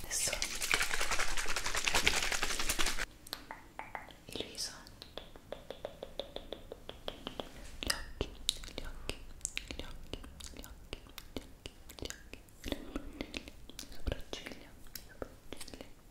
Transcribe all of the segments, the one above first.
adesso il viso gli occhi, gli occhi, gli occhi, gli occhi, gli occhi, gli occhi, le sopracciglia, le sopracciglia,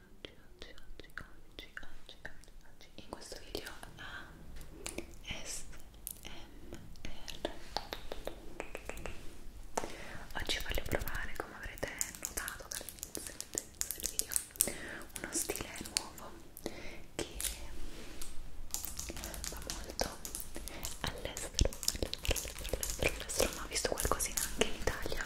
oggi, oggi, oggi, oggi, oggi, in questo video a SMR oggi voglio provare come avrete notato dall'inizio del video uno stile nuovo che va molto all'estero all'estero all'estero all'estero ma ho visto qualcosina anche in Italia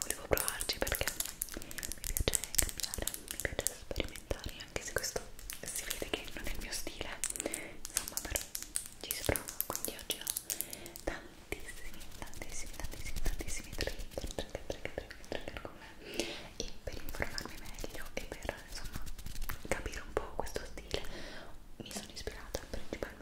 volevo provarci perché mi piace cambiare, mi piace sperimentare anche se questo si vede che non è il mio stile insomma però ci si prova quindi oggi ho tantissimi, tantissimi, tantissimi, tantissimi trigger, trigger, trigger, trigger con me e per informarmi meglio e per insomma capire un po' questo stile mi sono ispirata principalmente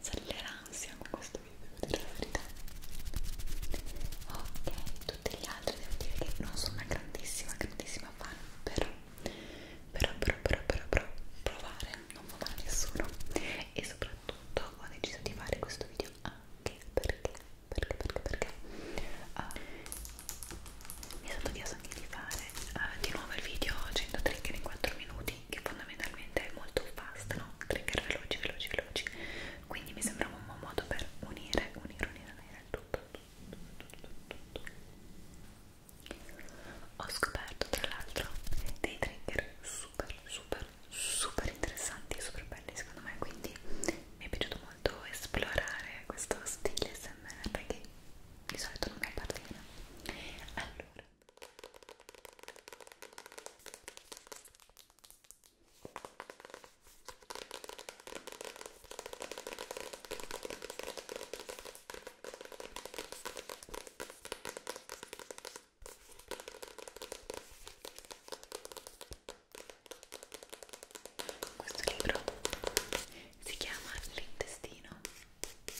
sale l'ansia con questo video, devo dire la verità ok, tutti gli altri devo dire che non sono una grandissima, grandissima fan però, però, però, però, però, però provare non fa male a nessuno e soprattutto ho deciso di fare questo video anche perché, perché, perché, perché uh, mi sono chiesto anche di fare uh, di nuovo il video 100 trigger in 4 minuti che fondamentalmente è molto fast, no? Trigger veloci, veloci, veloci. Quindi mi sembrava un buon modo per unire, unire, unire, unire il tutto, tutto, tutto, tutto, tutto. Ho scoperto tra l'altro dei trigger super, super, super interessanti e super belli secondo me, quindi mi è piaciuto molto esplorare questo stile SMR che di solito non mi appartiene. Allora questo libro si chiama L'intestino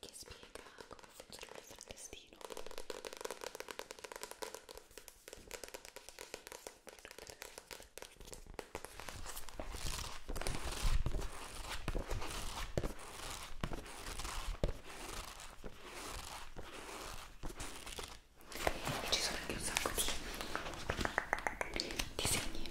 che spiega come funziona il frattestino e ci sono anche un sacco di disegni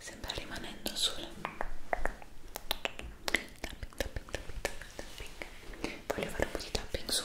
Sembra rimanendo sul tapping, tapping, tapping, tapping. Voglio fare un po' di tapping su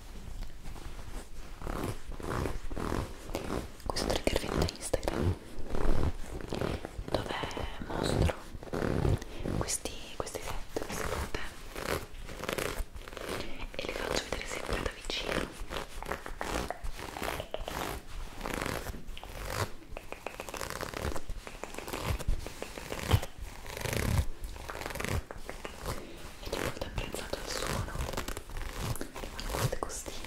questo trigger viene da Instagram dove mostro questi, questi set, queste foto e li faccio vedere sempre da vicino ed è molto apprezzato il suono che fanno queste costine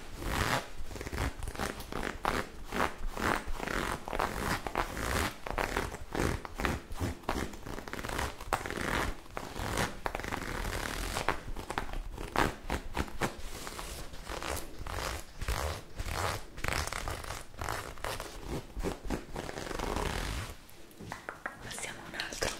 Passiamo a un altro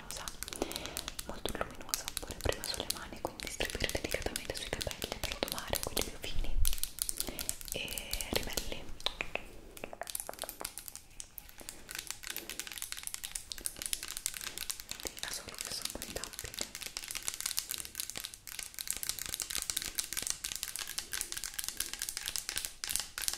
luminosa molto luminosa oppure prima sulle mani quindi distribuire delicatamente sui capelli per domare quelli più fini e ribelli da solo che sono poi tapping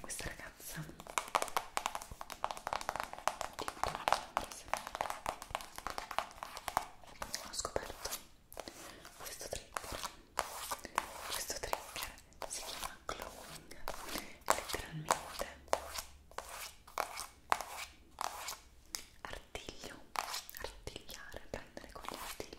questa ragazza ho scoperto questo trigger questo trigger si chiama glowing letteralmente artiglio artigliare prendere con gli artigli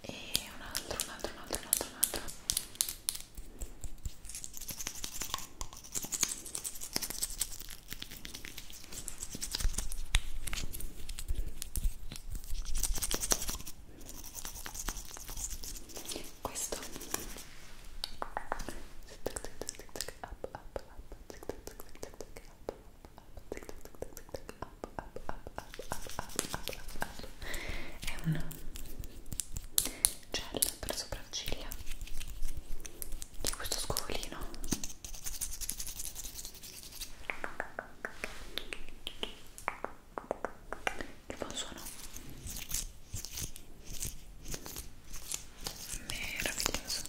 e un altro, un altro, un altro, un altro, un altro. Questo up, up, up, tic, tic, tic, tic, up, è un gel per sopracciglia di questo scovolino che buon suono meraviglioso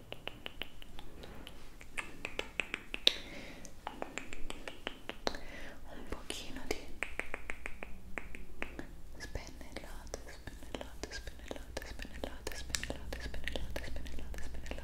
un pochino di spennellate, spennellate, spennellate, spennellate, spennellate, spennellate, spennellate, spennellate. Ecco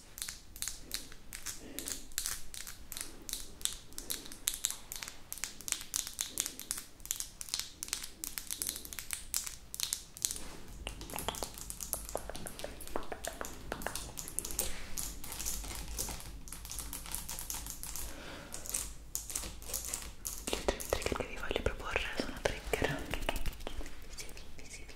Gli altri trigger che vi voglio proporre sono trigger visivi, visivi,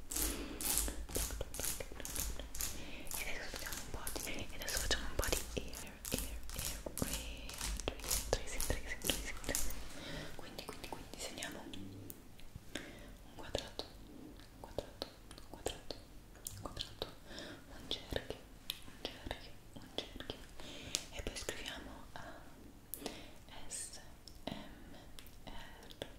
e adesso facciamo un po' di, adesso facciamo un po' di air, air, air, tracing, tracing, tracing, tracing, tracing. Quindi, quindi, quindi disegniamo un quadrato, un quadrato, un quadrato, un quadrato, un cerchio, un cerchio, un cerchio e poi scriviamo a S, M, R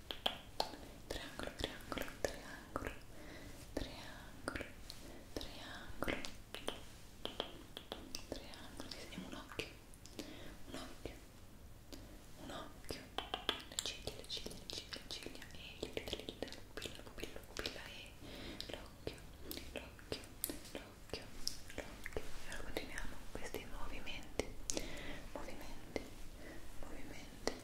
triangolo, triangolo, triangolo, triangolo, triangolo, triangolo, disegniamo un occhio, un occhio, un occhio, le ciglia, le ciglia, le ciglia, le ciglia, e le dita, le dita, la pupilla, la pupilla, la pupilla, e l'occhio, l'occhio, l'occhio, l'occhio, e allora continuiamo questi movimenti, movimenti, movimenti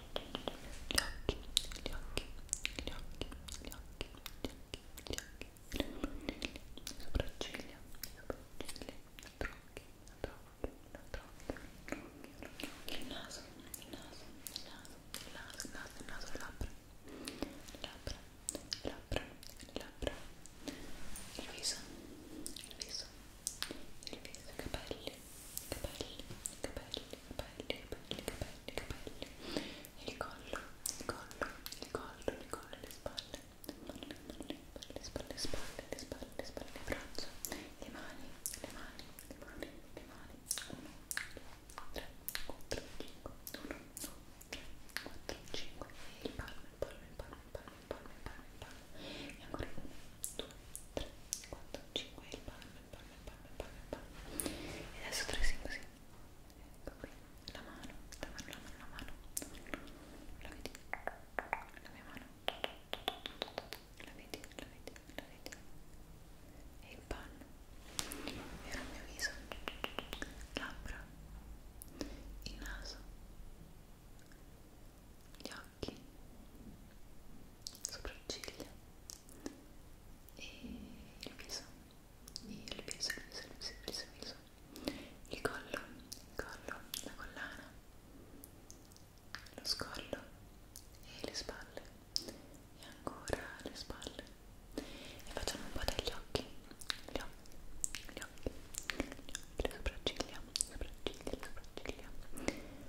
gli occhi, gli occhi, gli occhi, gli occhi, gli occhi, gli occhi, le sopracciglia, le sopracciglia, la tronchi, la tronchi, la tronchi, il naso, il naso, il naso, il naso, il naso, il naso, le labbra, le labbra, le labbra, le labbra, il viso, il viso, il viso, i capelli, capelli, capelli, capelli, capelli, capelli, capelli, il collo, il collo, il collo, il collo, le spalle, le spalle, le spalle, le spalle, le spalle, le braccia, le mani, le mani, le mani, le mani, 1, 2, 3, 4, 5, 1, 2, 3, 4, 5, e il palmo, il palmo, il palmo, il palmo, il palmo, il palmo, il palmo, e ancora 1, 2, 3, 4, 5, e il palmo palme, palme, palme, palme. E adesso tracing così. Ecco qui. La mano, la mano, la mano, la mano. La vedi? La mia mano. La vedi, la vedi, la vedi. E il panno. E il mio viso. Labbra. Il naso. Gli occhi. Sopracciglia e il viso e il viso, il viso, il viso, il viso, il viso il collo, il collo, la collana lo scollo e le spalle e ancora le spalle e facciamo un po' degli occhi gli occhi, gli occhi, gli occhi, le sopracciglia, le sopracciglia, le sopracciglia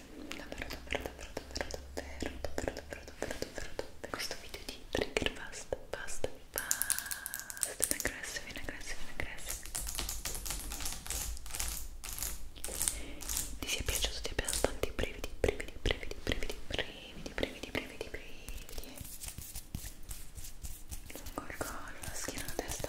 davvero davvero davvero davvero davvero davvero davvero davvero davvero questo video di trigger basta basta basta in aggressive in aggressive in aggressive ti sia piaciuto ti abbia dato tanti brividi brividi brividi brividi brividi brividi brividi brividi lungo il collo la schiena la testa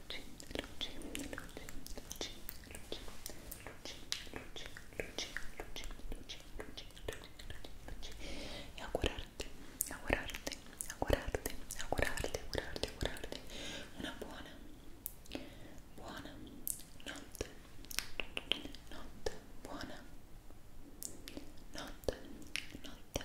y augurarti, augurarti, augurarti, augurarti, augurarti, augurarti una buona, buona notte, notte, buona notte, notte, notte,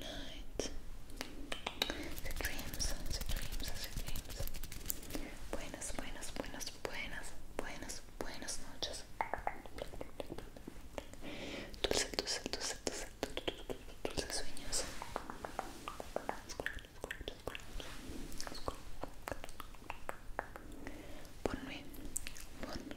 night. The dreams, the dreams, the dreams. Buenas, buenas, buenas, buenas, buenas, buenas noches. Dulce, dulce, dulce, dulce, dulce sueños. Bonne nuit. Bonne,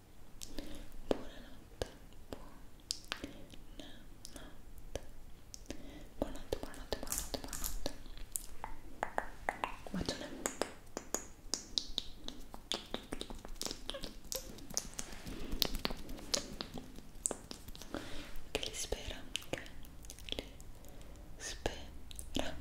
buonanotte, buonanotte, buonanotte, buonanotte, buonanotte, buonanotte. Bacione. Che li spera, che li spera.